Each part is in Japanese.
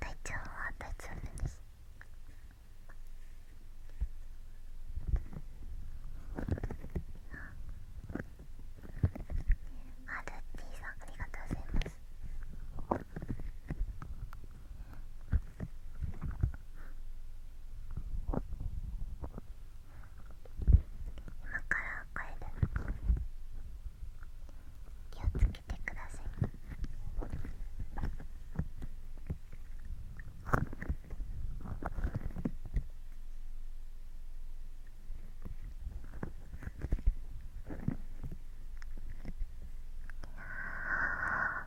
体調は大丈夫あルッテさんありがとうございます今から帰る気をつけてくださいああ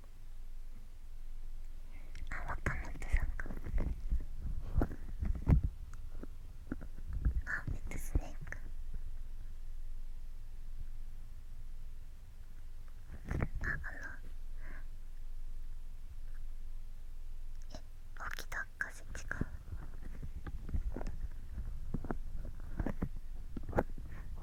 あ、若本さんかあ、めっちゃスネークあ、あのえ、起きた風違うあ、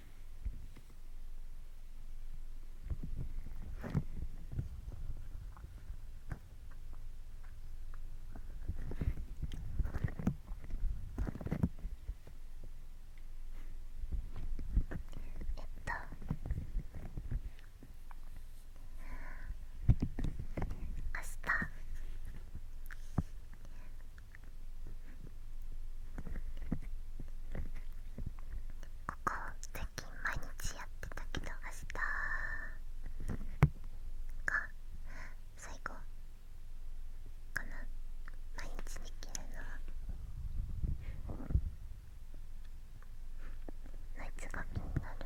えっ明ここ最近毎日やってたけど明日が最後かな毎日できるのはナイツが気になる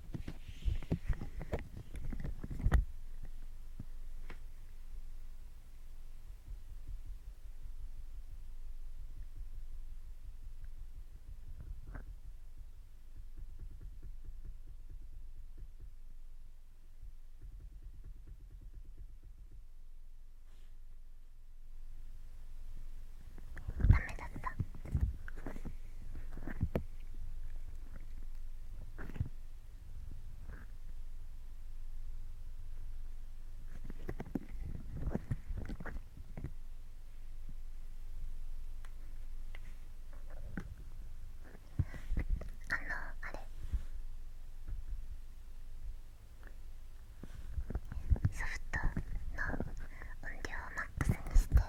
ダメだったあのあれソフトの音量をマックスにしてレコーダーを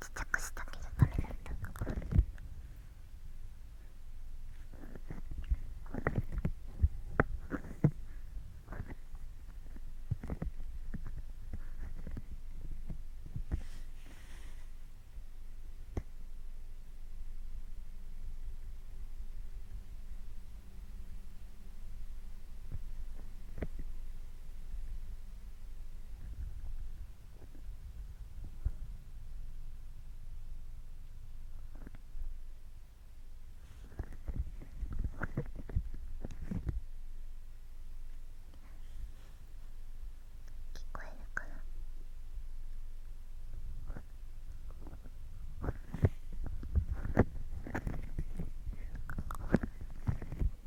ちっちゃくしたけどこえるかな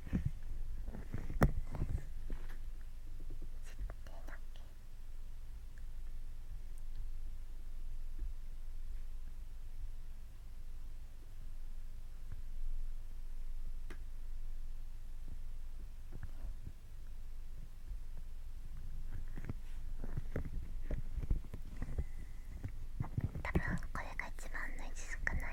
多分これが一番の位置少ない。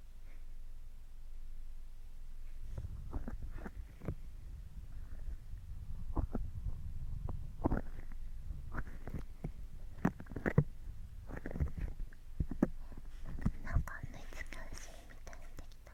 なんか熱が薄いみたいにできた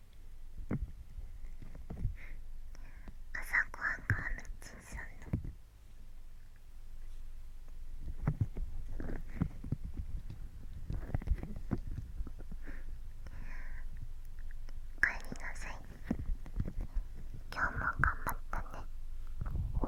朝ごはんがハムちンさんのおりなさい今日も頑張ったねお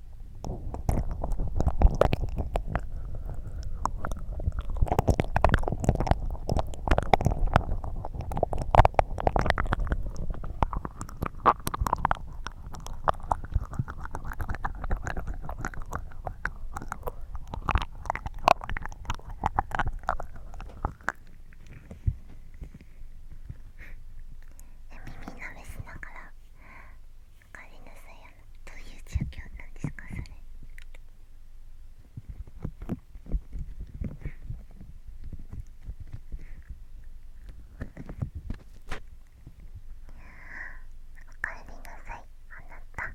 耳のメスだから帰りなさいあのどういう状況なんですかそれおかえりなさいあなた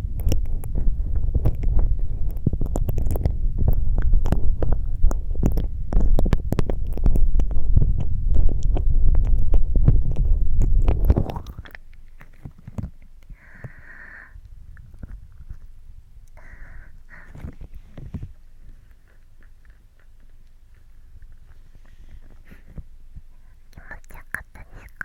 気持ちよかったですか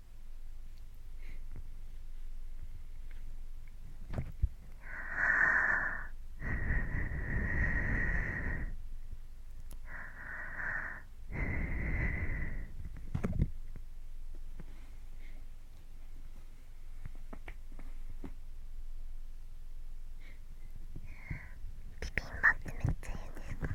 ピピンバってめっちゃいいんですか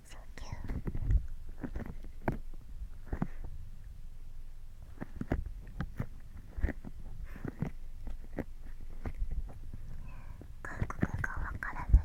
So cute. 韓国がわからない。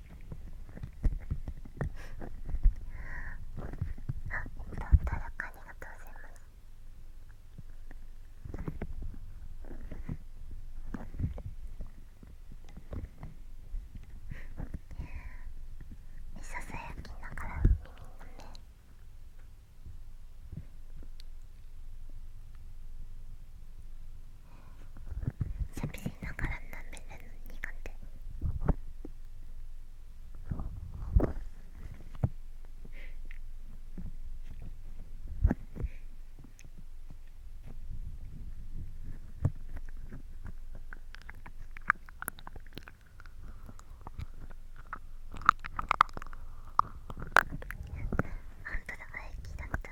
あ、ったらかありがとうございますささやきながら耳の目喋りながら舐めるの苦手あんただが駅だった。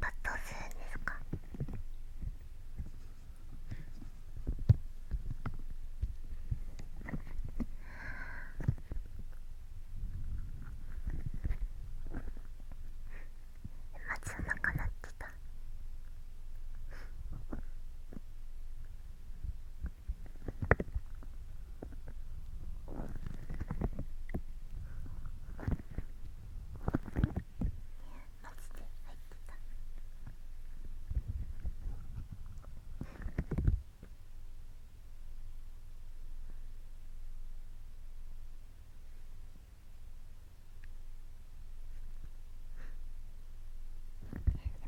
パッとするですかまずなくなってた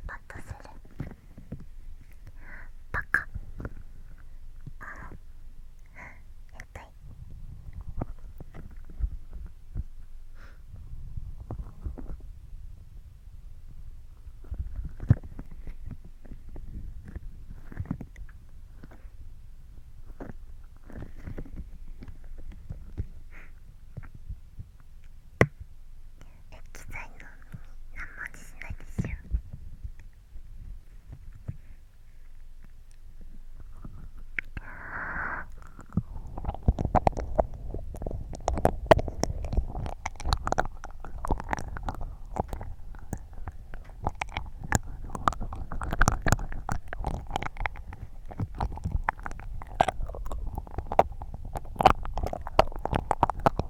パッとする。バカあたい。液剤の耳何も味しないでしょ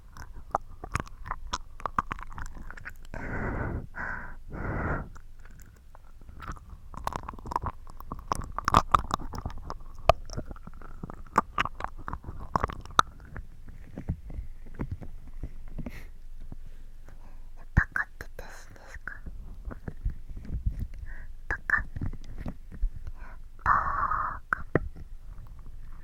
バカって私ですかバカバーカバ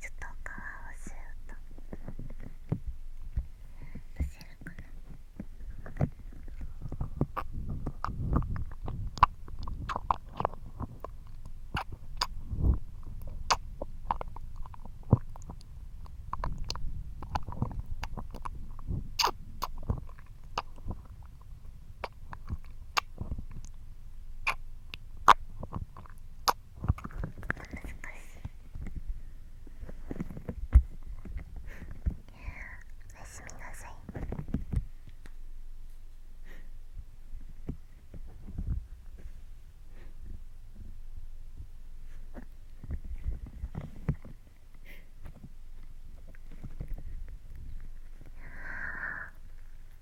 ちょっと皮をシューッとおやすみなさいあ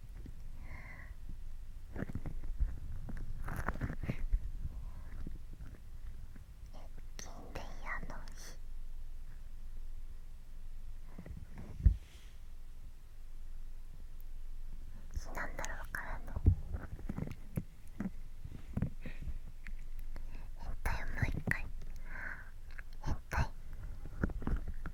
金やの日なんだろうからの変態をもう一回変態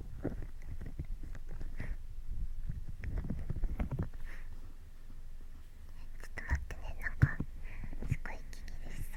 ちょっと待ってねなんかすごい気に入りそ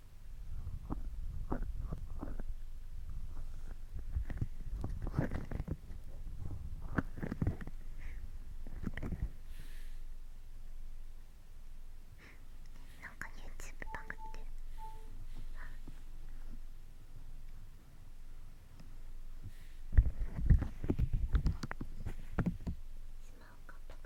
なんかユ o u t u b e バグってしまうか、がパクった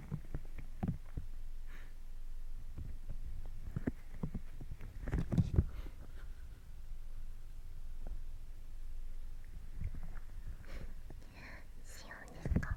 しようですか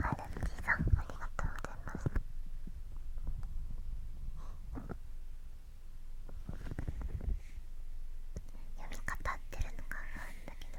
アルミさんありがとうございます。読み方ってるのかなあるんだけど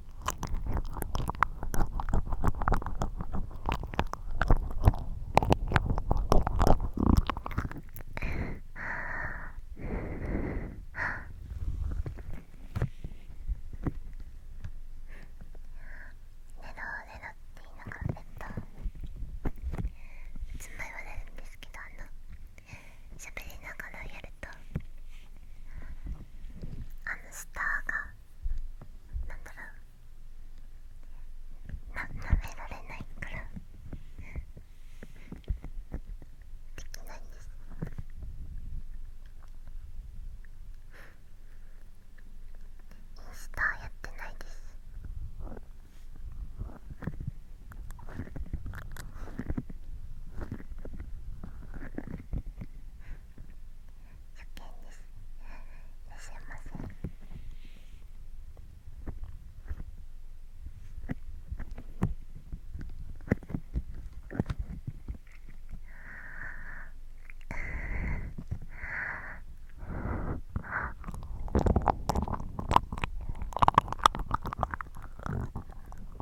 なかったつも言われるんですけどあのしゃべりながらやる。とあのスターがなんだろうななめられないからできないんですインスタやってないです初見ですいらっしゃいませあ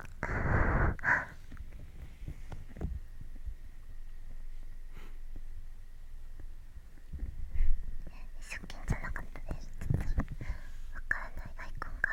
初見じゃなかったですちょっとわからないアイコンが。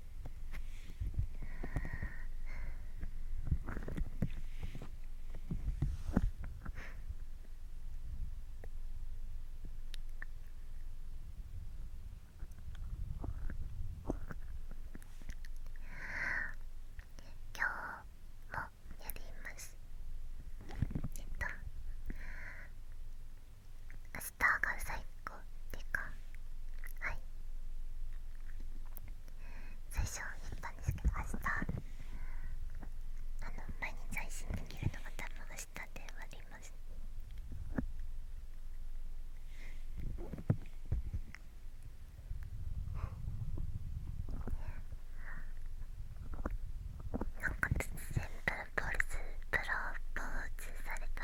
今日もやりますえっと明日が最高。コデはい最初言ったんですけど明日あの毎日配信できるのが多分明日で終わりますなんか突然プロポーズプロポーズされた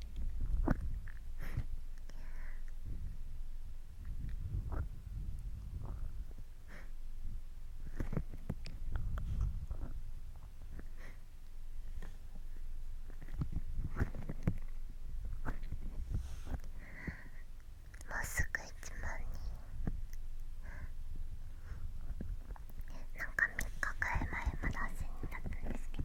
もうすぐ一万人なんか3日くらい前まだ8000ったんですけど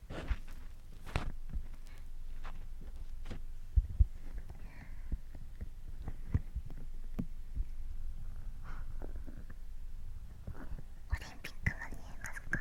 オリンピックが見えますか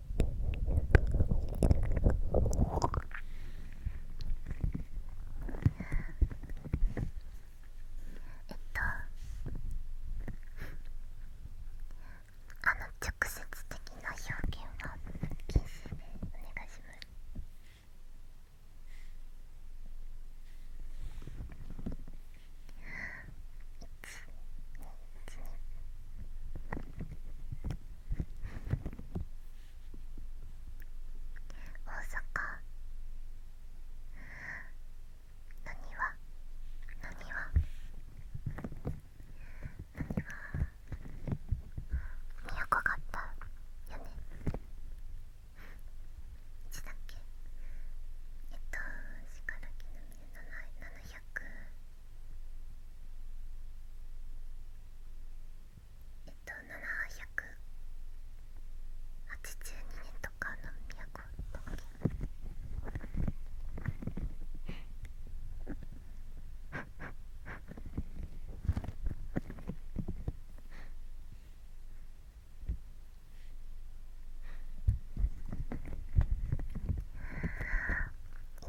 えっとあの直接的な表現は禁止でお願いします一大阪。何は何は何は都があったよねいだっけえっとしからきのみで700えっと782年とかの都だっ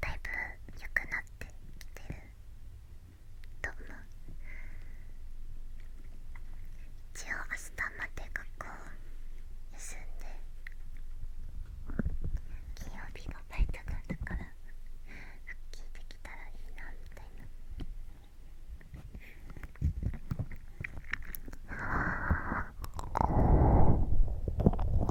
だいぶ良くなってきてると思う一応明日まで学校休んで金曜日のバイトがあるから復帰できたらいいなみたいな。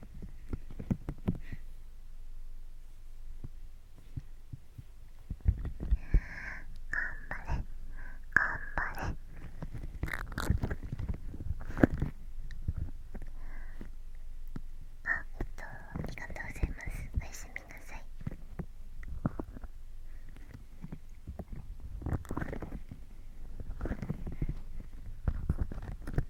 張れ頑張れあえっとありがとうございますおやすみなさい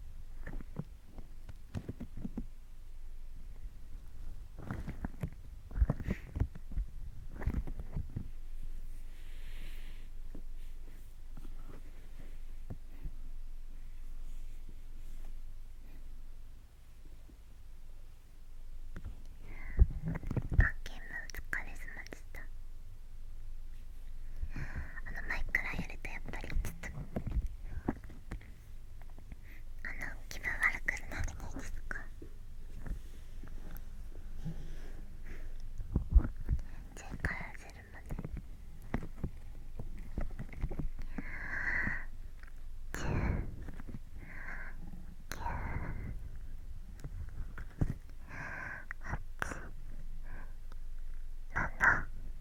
あゲームお疲れ様でした。あの前からやるとやっぱりちょっとあの気分悪くなるないですか前回焦るまでキューキだ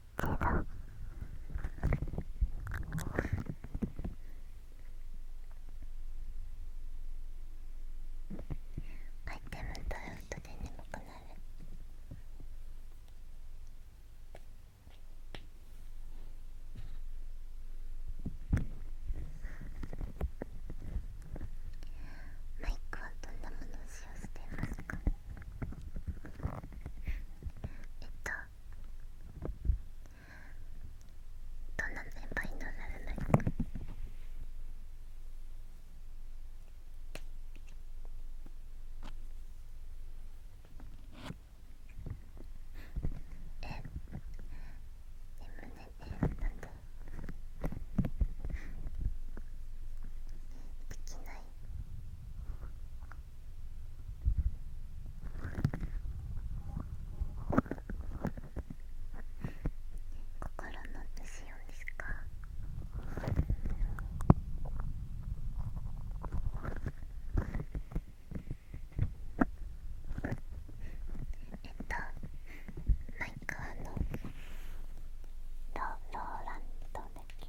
けどアイテムと取るとで眠くなるマイクはどんなものを使用していますかえっとどんなメンバーにならないかえ眠れてなんでできない。心の虫をですかえっとマイカあのローランドだっけ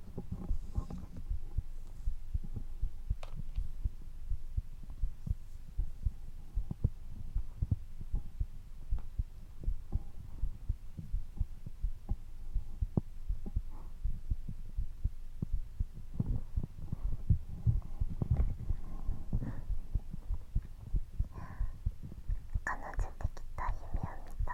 彼女できた夢を見た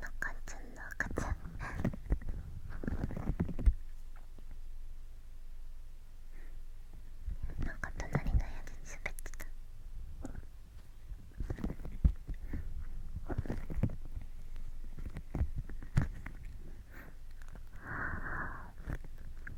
赤ちゃんの赤ちゃんなんか隣のやつ滑ってた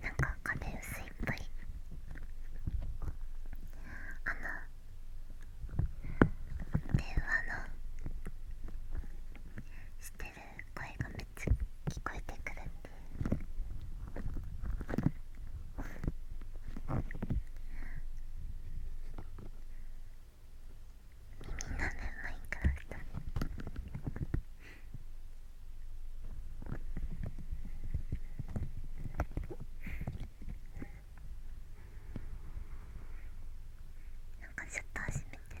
なんか壁薄いっぱりあの電話のしてる声がめっちゃ聞こえてくるんで耳なめマイクラフトなんかシャッター閉めてる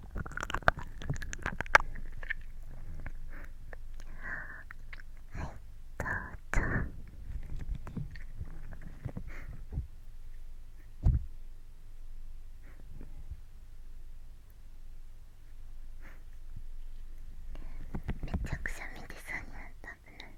はい、どうぞめちゃくちゃ見てそうになったぶね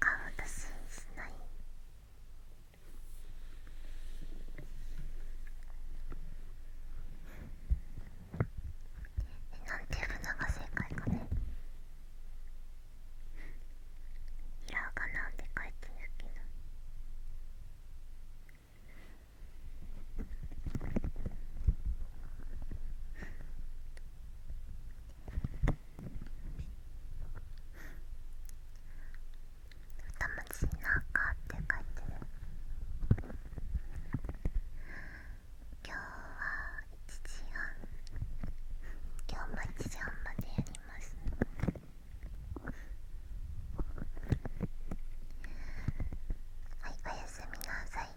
顔出ししないなんていうのが正解かねひらがなでて書いてるけどたまちなかって書いてる今日は1時半今日も1時半までやりますはいおやすみなさい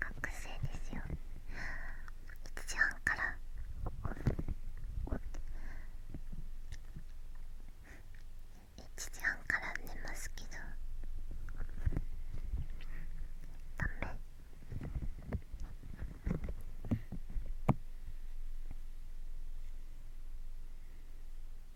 学生ですよ1時半から1時半から寝ますけどダメ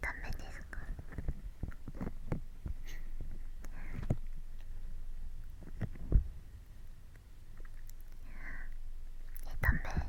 ダ目ですかえダメ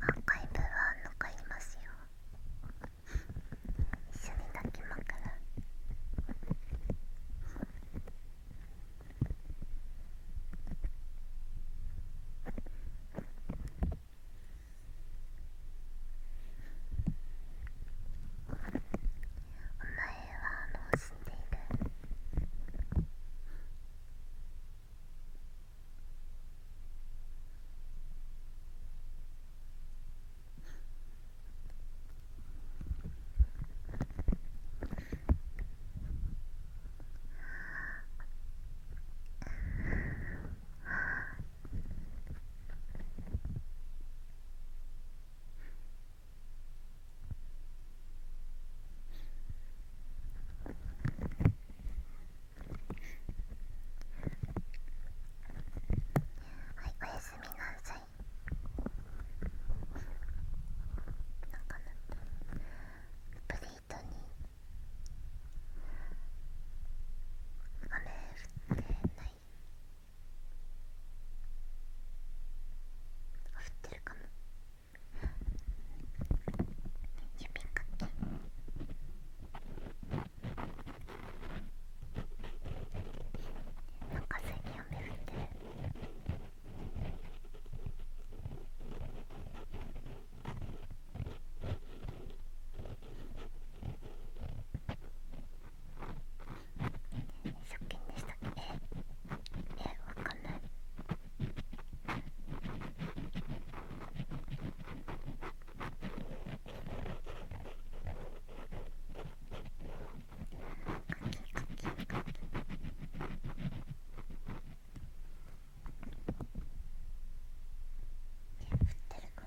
アーカイブは残りますよ一緒に抱きまくるあお前はもう死んでいるはい、おやすみなさいなかなっプレートに雨降てないな降ってるかも指かけなんか最近雨降ってるショッキングでしたっけええわかんないカキカキカキ降ってるかな。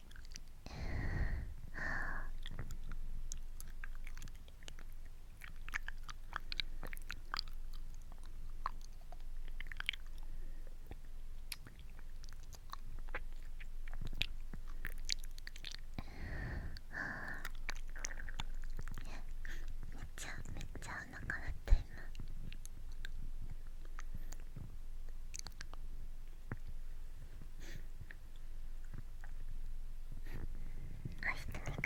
はあ。めっちゃめっちゃお腹鳴っています。お一人暮らしですね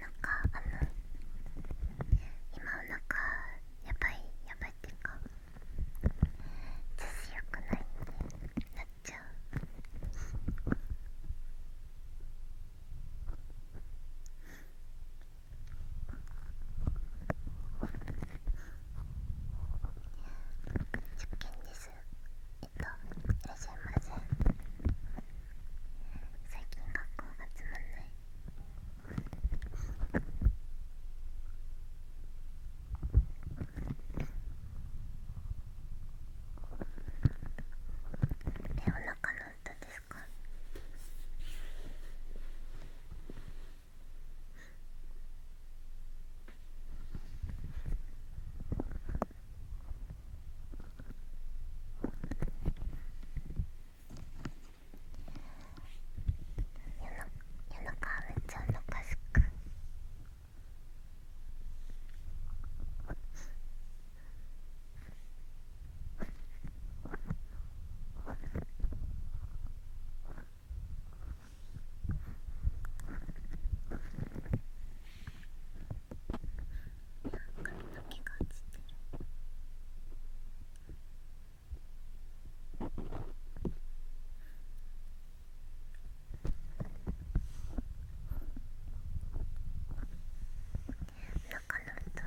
なんかあの今お腹やばいやばいっていうか調子よくないんでなっちゃう受験ですえっといらっしゃいませ最近学校がつまんないえ、お腹の歌ですか夜中めっちゃお腹すく。気がつってる。なんかなるとる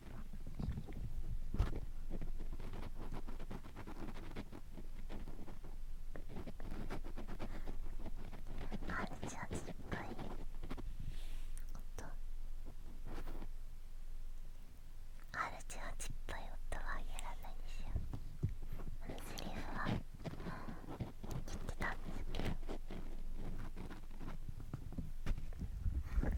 あるじゃすっごい音あるじゃちっぽい音はやらないんあのセリフは言ってたんですけど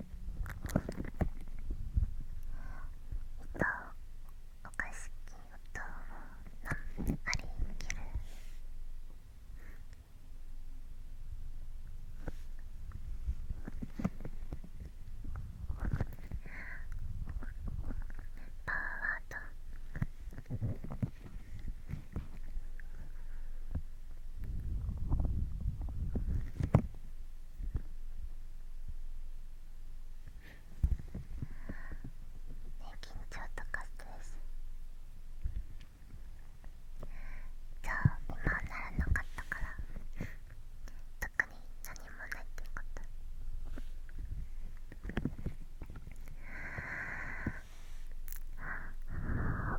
おかしき音のありきるパワーと「ね、緊張とかストレスじゃあ今はならなかったから特に何もないってことああ。ああ。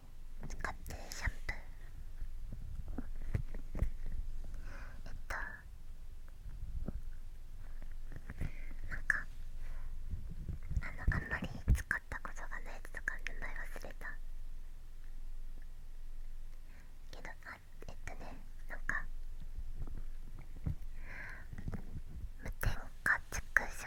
使ってるシャンプーえっとなんかあのあんまり使ったことがないやつとか名前忘れたけどあえっとねなんか無添加つくス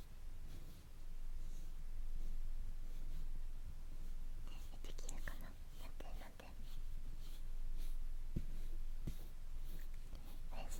できるかな待ってなっておやす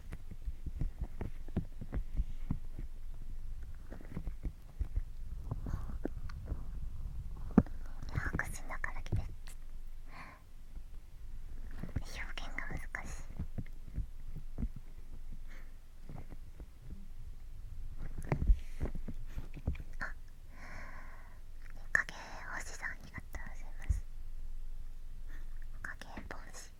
ークスのからきて。す表現が難しいあ影星さんありがとうございます影星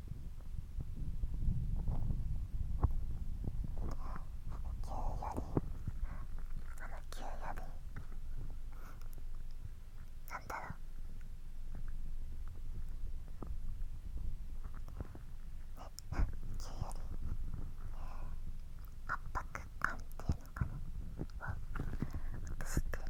なんだろうねっ急より圧迫感っていうのかなを映していたけど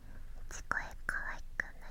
ち声かわいくない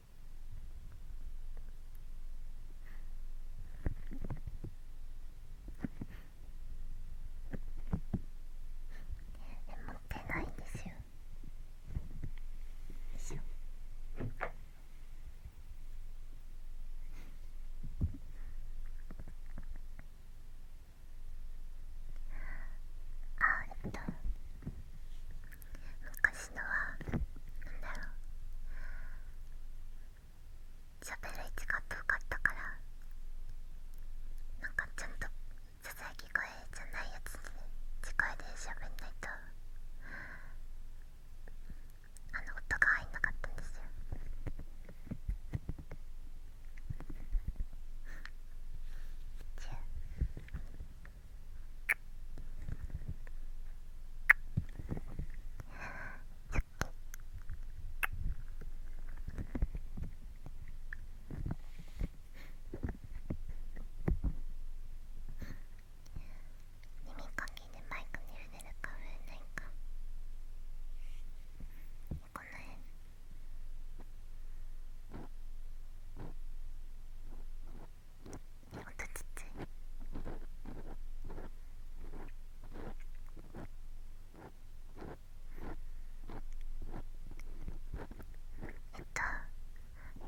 持ってないんですよ。あえっと昔のはなんだろう喋る位置が遠かったからなんかちゃんとささやき声じゃないやつに近いで喋んないとあの音が入んなかったんですよじゃあ耳かきでマイクに触れるか触れないかこの辺ほんとちっちゃいえっと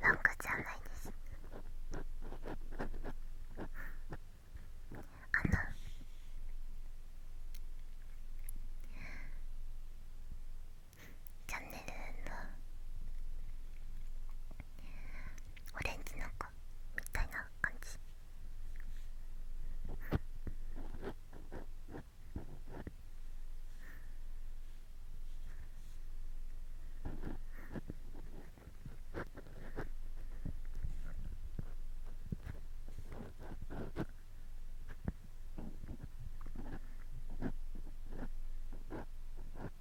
ロングじゃないですあのチャンネルのオレンジの子みたいな感じ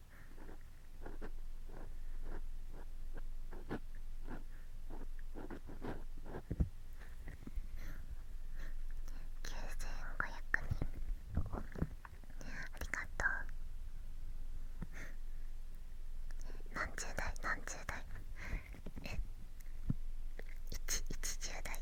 人。ありがとう何十代何十代え一一十代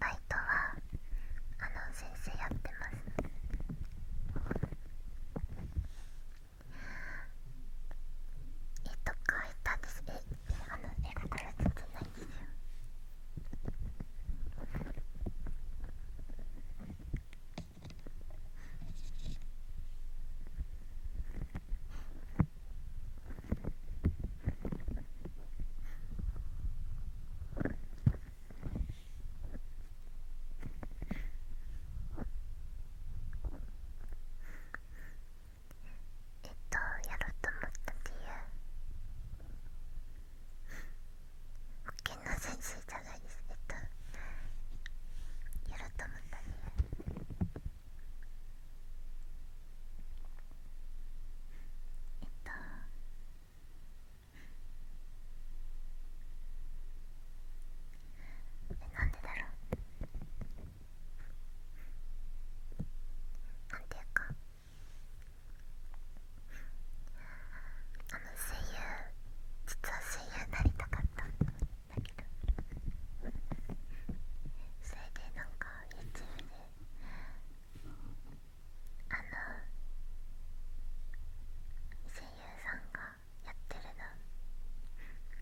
バイトはあの先生やってますえっとかいたんですえあのえ、がからつってないんですよええっとやろうと思った理由保険の先生じゃないですえっとやろうと思ったん、でえっとえなんでだろうなんていうかあの声優実は声優になりたかっただけどそれでなんか YouTube であの声優さんがやってるの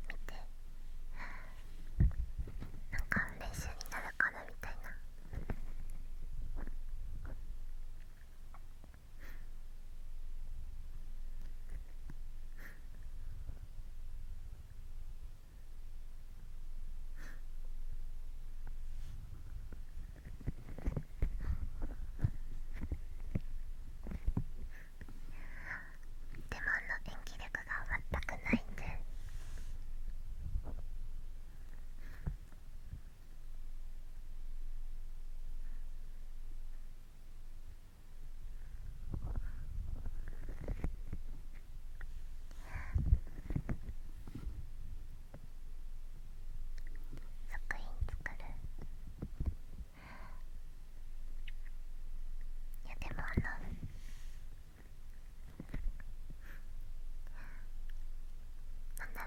見てなんか練習になるかなみたいな。でもあの演技力が全くないんで作品作るいやでもあのなんだろう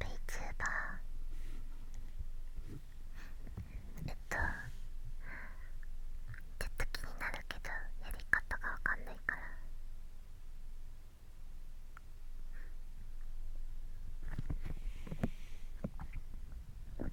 VTuber えっとちょっと気になるけどやり方がわかんないからうん。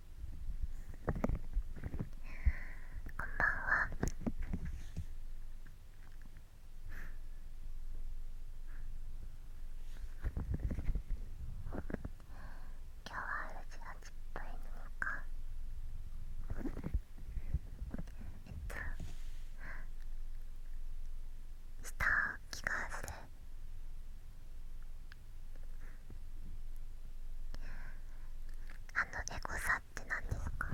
こんばんは今日はうちがちっぽいに行こうえっとした気がする。あのエゴサって何ですか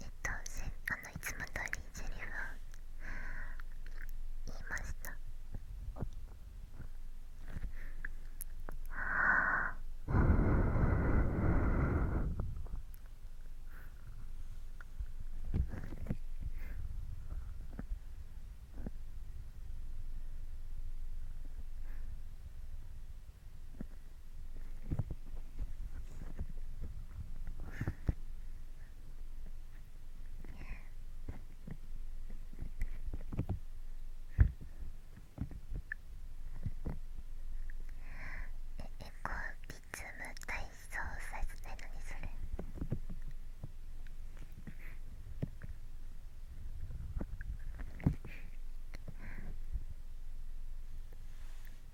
えっとせいつも通りセリフを言いましたはエコリズム体操させないのにそれ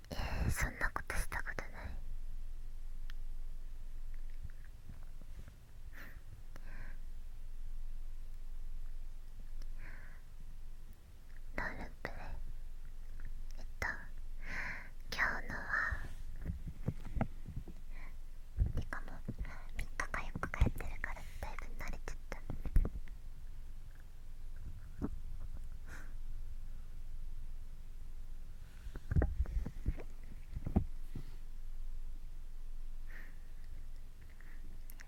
えー、そんなことしたことないロールプレイえっと今日のはてかもう3日か4日帰ってるからだいぶ慣れちゃった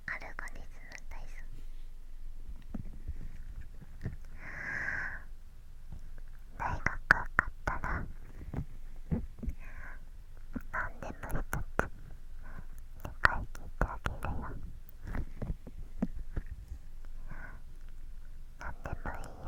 アルゴリズム体操大学受かったら何でも一い何でもいいよ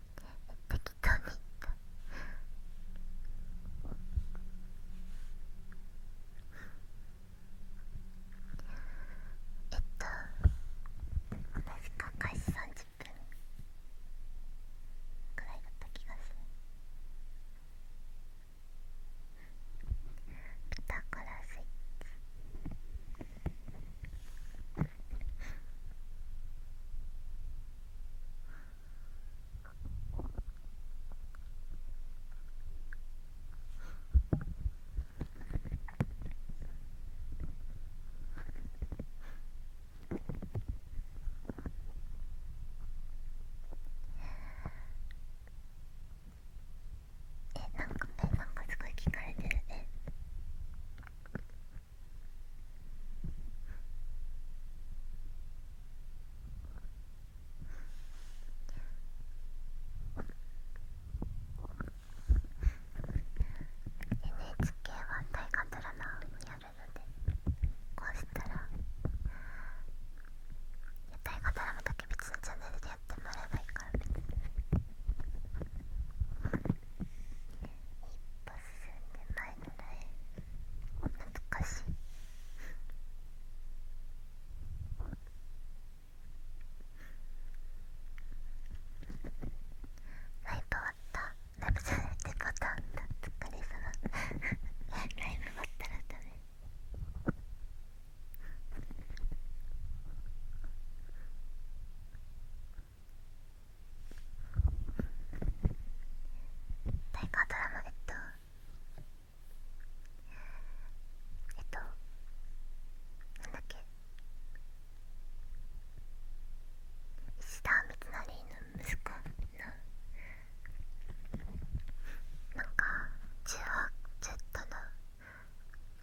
適当にえっと確か開始30分くらいだった気がするピタゴラスイッチえなんかえなんかすごい聞かれてるえ NHK は大河ドラマやるのでこうしたら大河ドラマだけ別のチャンネルでやってもらえばいいから別に1進んでないので難しいライブ終わったライブじゃないデコタンだ疲れ様ライブ終わったらダメ大河ドラマえっとえっとなんだっけ石田三成の息子のなんか18ちとの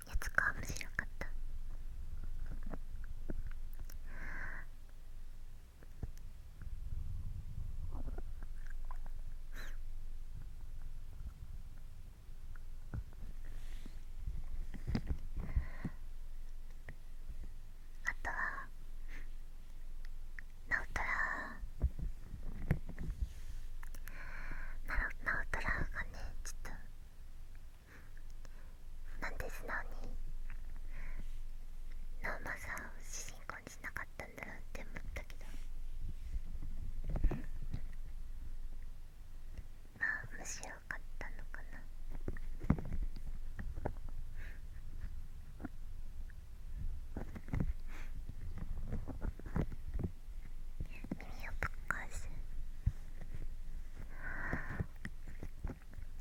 やつが面白かったあとはナウトラナナウトラがねちょっとなで素直にナウマさん主人感じなかったんだなって思ったけどまあむしろ買ったのかな耳をぶっ壊す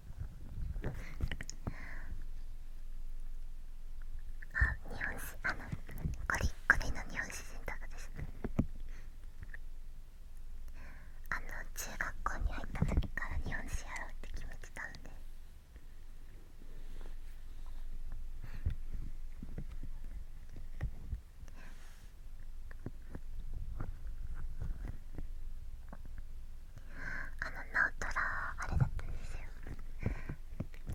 あ日本史あのこリこリの日本史選択ですあの中学校に入った時から日本史やろうって決めてたんでああの直虎あれだったんですよ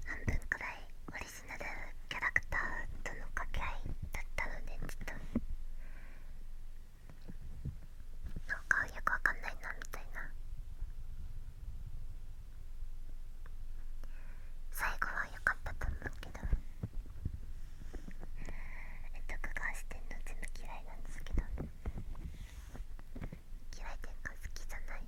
半分くらいオリジナルキャラクターとの掛け合いだったのでちょっとなんかよくわかんないなみたいな最後は良かったと思うけどえっと、録してんの全部嫌いなんですけど。嫌いでんが好きじゃない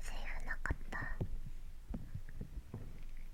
セーフなかった。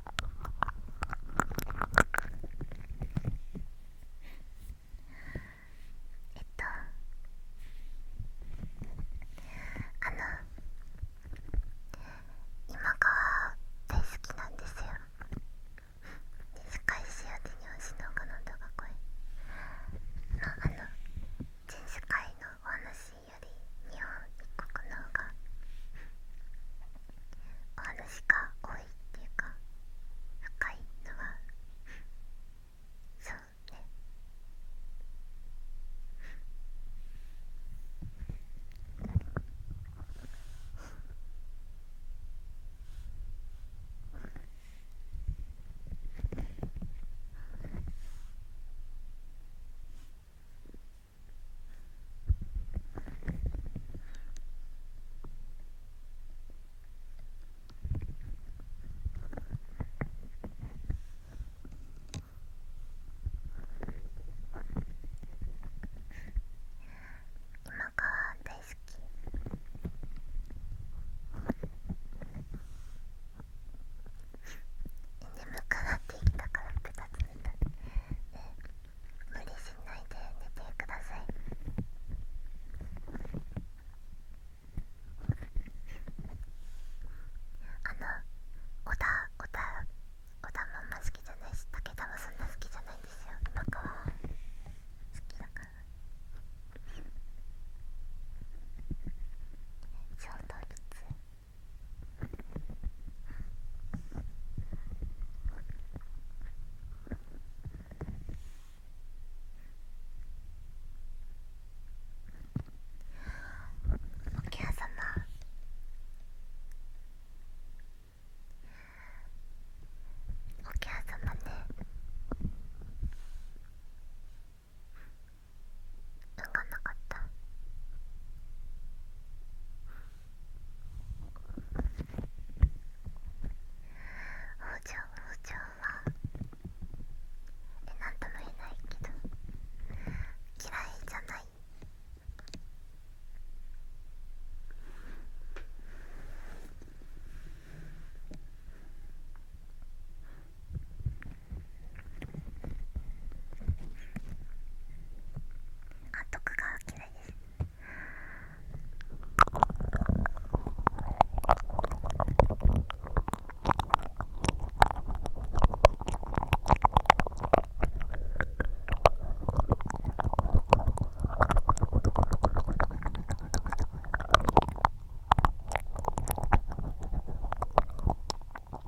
えっとあの今川大好きなんですよ世界史や手に星の彼方が声のあの全世界のお話より日本一国の方がお話が多いっていうか深いのはそうねうん。今川大好き。で、向かってきたからってつなえ無理しないで寝てください。あの、小田、小田、小田まんま好きじゃないし、武田もそんな好きじゃないですよ、今かは。好きだから。ちょうどいつ。おき客様おき客様ね分かなかった。ちゃんおうちゃんはえなんとも言えないけど嫌いじゃないあ徳川嫌いです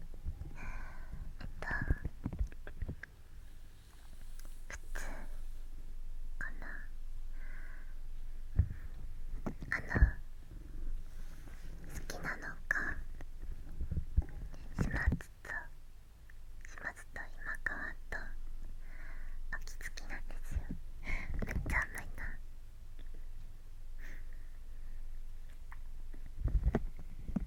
えっと靴かなあの好きなのか始末と始末と今川と秋月なんですよめっちゃ甘いな。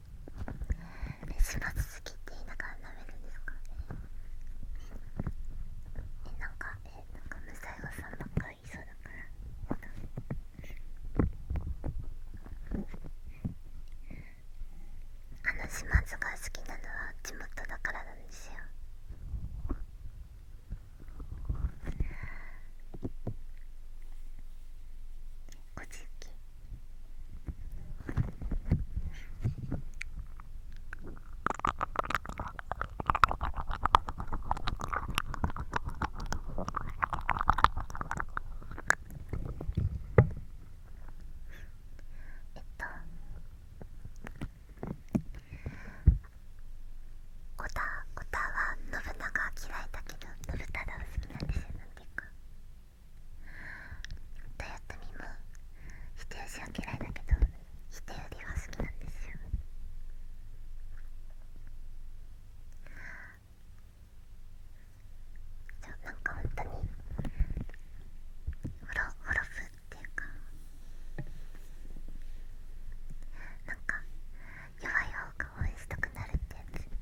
えしば好きって言いながら舐めるんですかえなんかえなんかムサイゴさんばっかりいそうだからあの島津が好きなのは地元だからなんですよごちゆきオタは信長嫌いだけど信太が好きなんですよなんていうか。たやとみも否定しは嫌いだけど否定よりは好きなんですよじゃなんか本当にほろほろふっていうかなんか弱い方が応援したくなるってやつ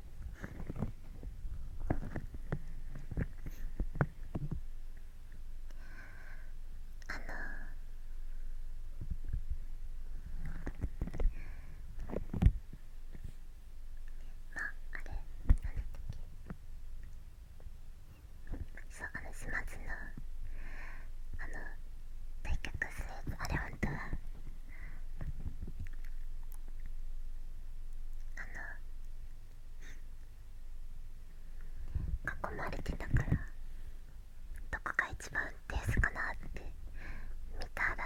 あのまああれなんだそうあの始末のあの対局するやつあれはんとあの囲まれてたからどこが一番安ーかなって見たら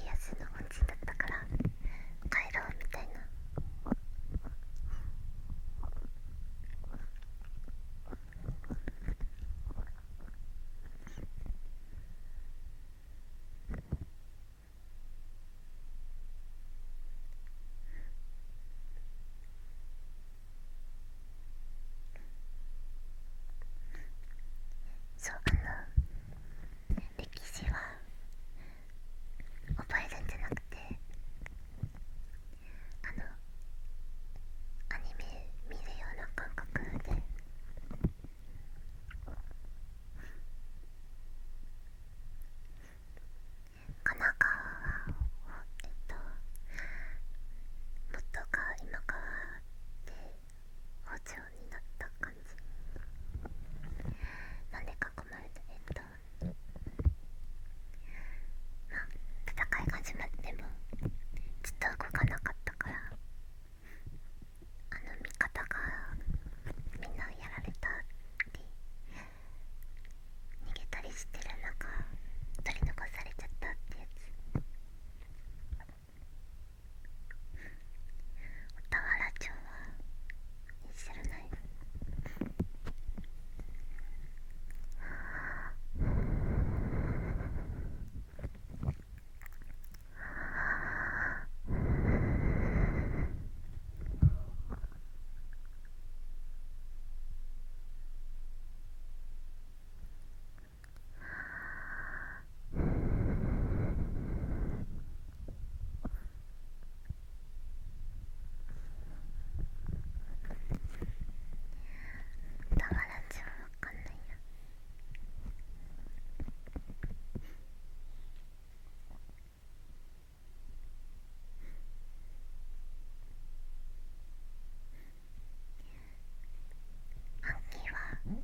家康の本陣だったから帰ろうみたいな。そうあの歴史は覚えるんじゃなくてあのアニメ見るような感覚で神奈川はえっともっと今変わって包丁になった感じなんで囲まれてえっとまあ戦い始まってもずっと動かなかったからあの味方がみんなやられたって、逃げたりしてる中取り残されちゃったってやつ小田原町は知らないああ。はあ。だからじゃんわかんないや。暗記はあの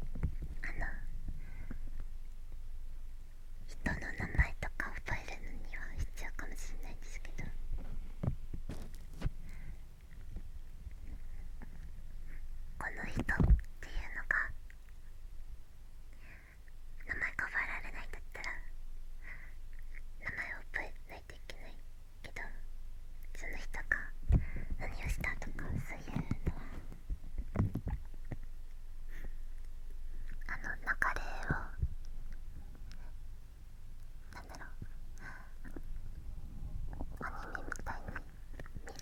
人の名前とか覚えるのには必要かもしれないんですけどこの人っていうのが名前覚えられないんだったら名前を覚えないといけないけどその人が何をしたとかそういうのはあの流れをなんだろうアニメみたいに見る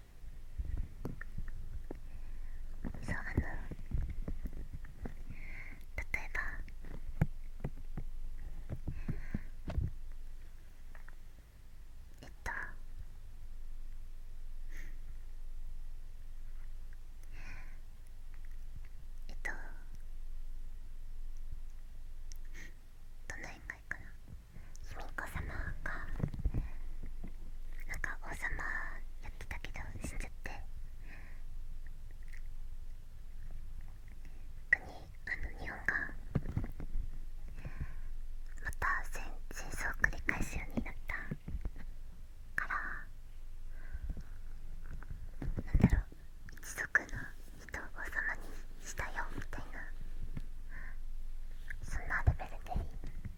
そうあの例えばえっとえっとどの辺がいいかな卑弥呼様がなんか王様やってたけどしちゃって逆にあの日本がまた戦戦争を繰り返すようになったからなんだろう一族の人を王様にしたよみたいなそんなレベルで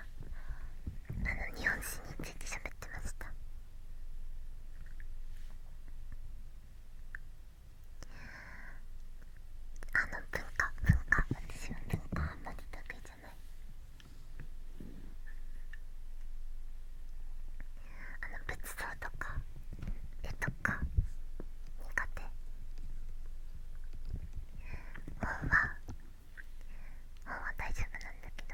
あの日本史についてしゃべってましたあの文化文化私の文化あんまり得意じゃないあの仏像とか絵とか苦手本は本は大丈夫なんだけど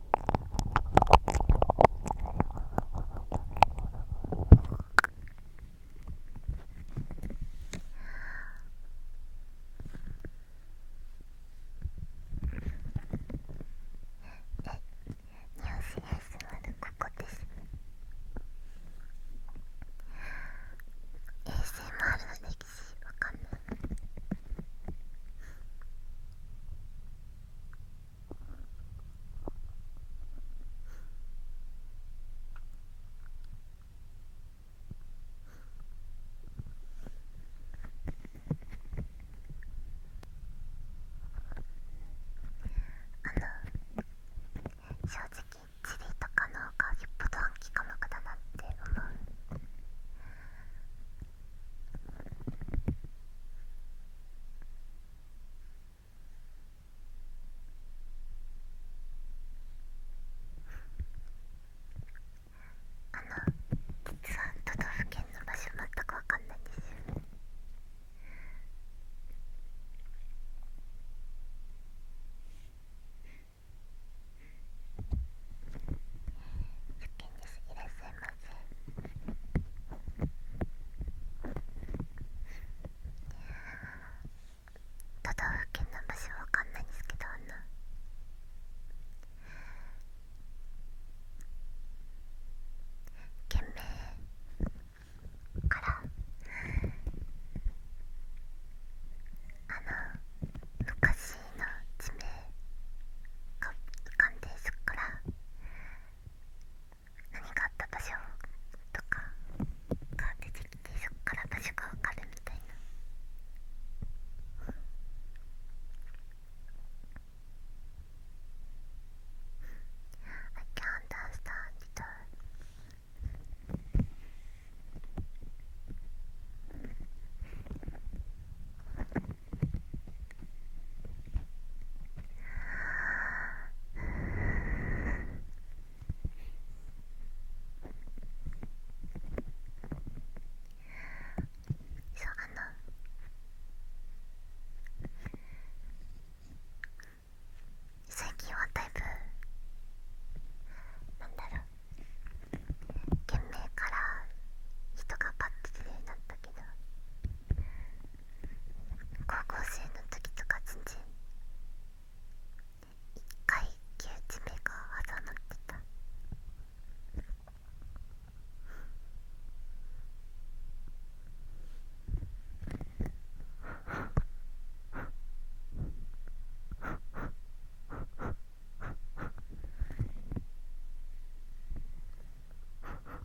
ここですね ASMR の歴史わかんない正直チリとかの方がよっぽど暗記科目だなって思うあの、実は都道府県の場所全く分かんないんですよねせませ都道府県の場所わかんないんですけどあの県名からあの昔の地名が浮かんですから。何があった場所とかが出てきてそこから場所がわかるみたいな。I can't u n d e r s t a n あそうあの最近はだいぶなんだろう懸命から人がパッて出になったけど高校生の時とか全然一回キウ目が挟まってた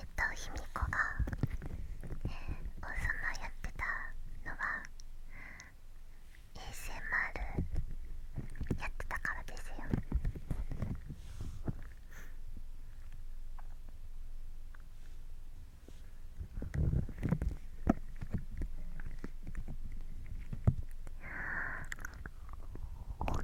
えっと卑弥呼が、えー、王様やってたのは衛 s m r やってたからですよああ。と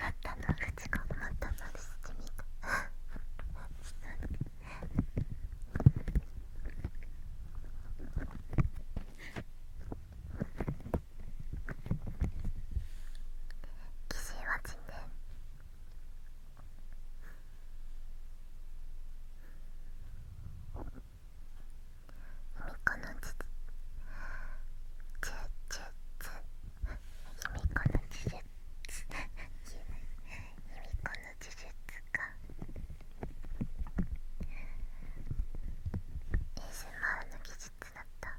なったの口がなったのしてみた。岸はちね卑弥呼のの呪術かエースマウの技術だった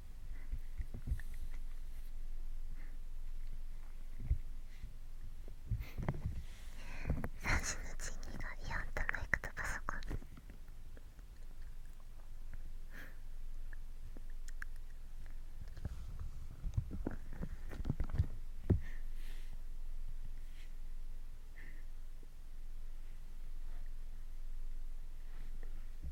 3日にのイオンとマイクとパソコン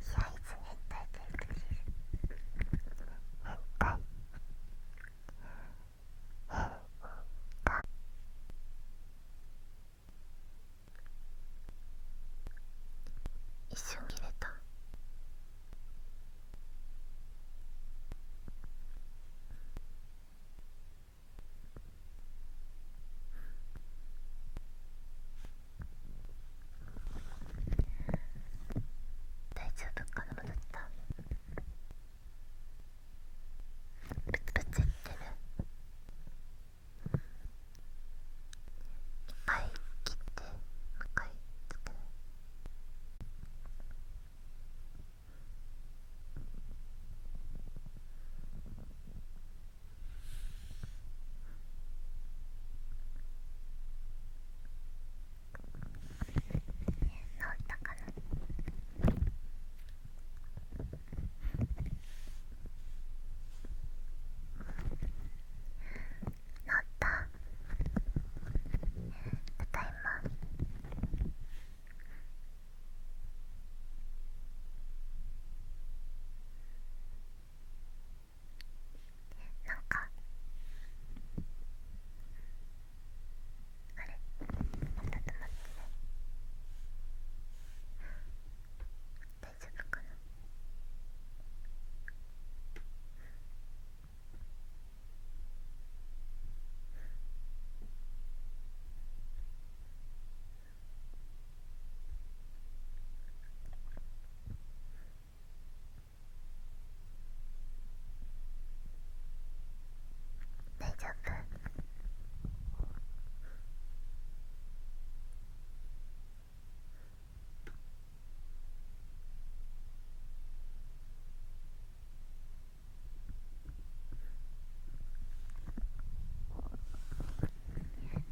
サイズ変変態一瞬切れた大丈夫かな戻ったツブツってる2回切って向いなったかななったただいまなんかあれまた止ってな大丈夫かな大丈夫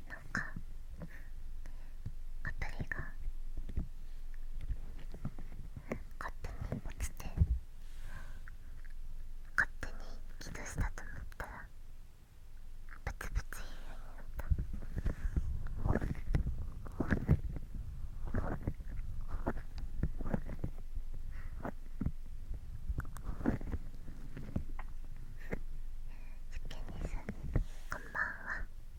なんかアプリが勝手に落ちて勝手に起動したと思ったらブツブツ言うようになった。ゆけにさんこんばんは。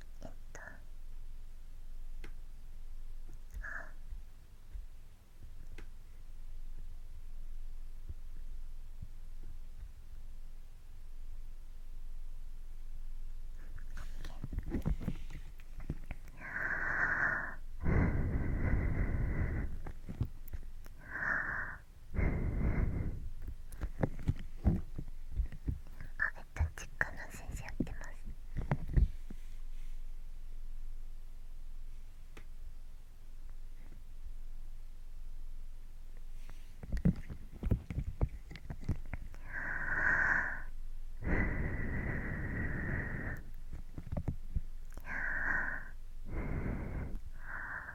えっとあえっと実家の先生やってますあ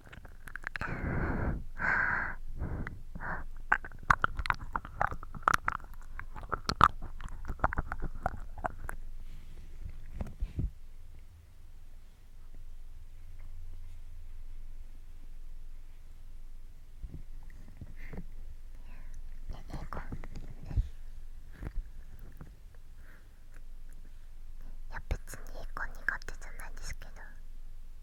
いや別にいい子苦手じゃないですけど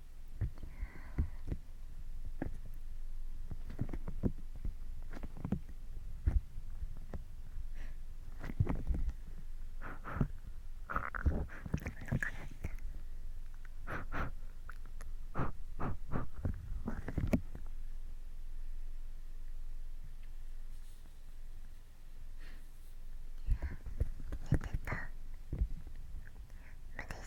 無理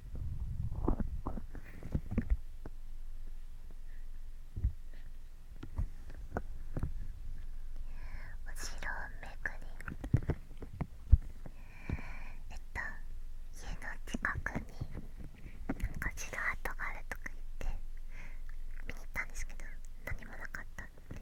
おめくりえっと家の近くになんか城跡があるとか言って見に行ったんですけど何もなかったっていう。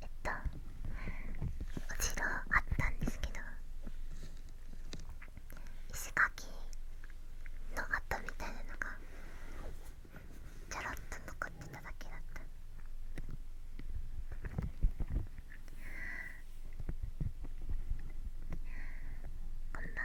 えっとお城あったんですけど石垣の跡みたいなのがちょろっと残ってただけだったこんばんは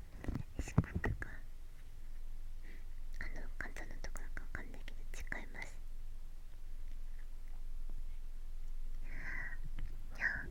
四角があの簡単ところかわかんないけど違いますじゃああ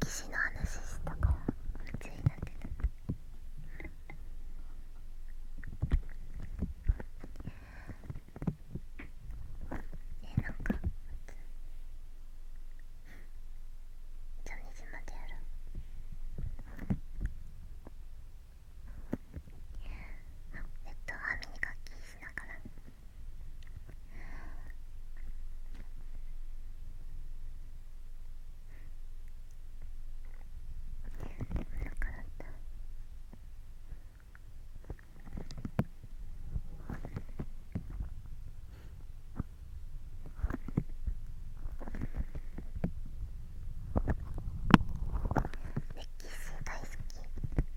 歴史の話したから夢中になってたえなんか初日までやろうえっと雨に磨きしながら。歴史大好き。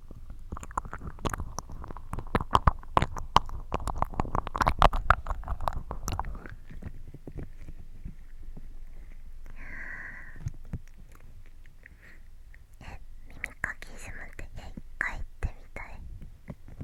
え、耳かきズムってえ一回行ってみたい耳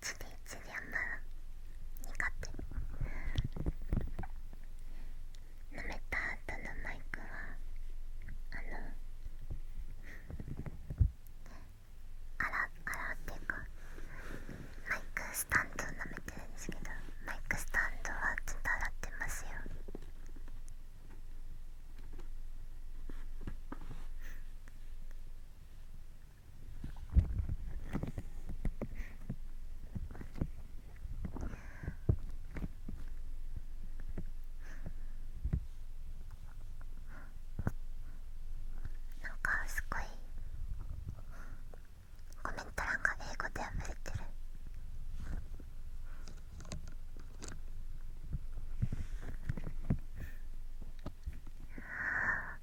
つチリチリ甘苦手舐めた後のマイクはあのあらあらっていうかマイクスタンドを舐めてるんですけどマイクスタンドはずっと洗ってますよなんかすごいコメント欄が英語で溢れてる。ああ。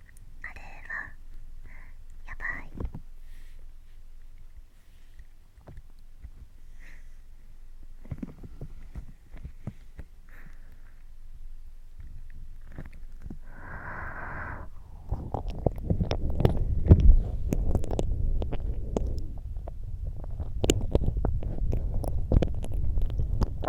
あれはやばい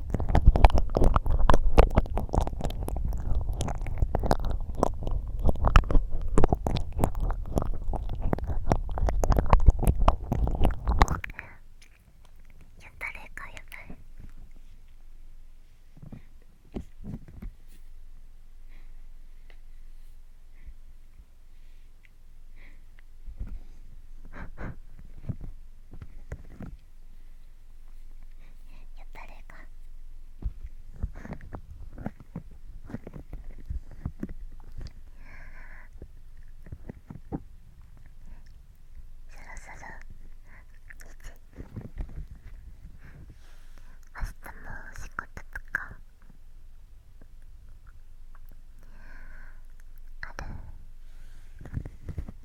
誰かやばい。やったれかそろそろ日明日も仕事とかある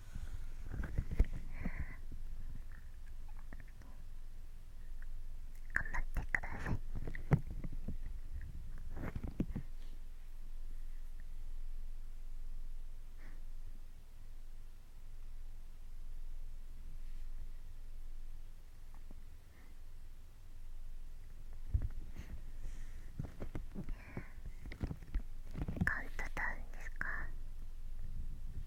頑張ってくださいカウントダウンですか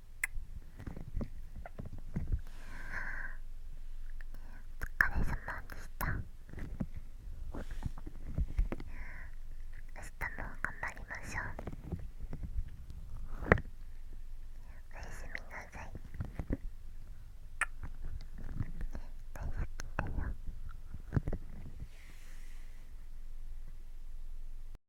お疲れ様でした明日も頑張りましょうおやすみなさい大好きだよ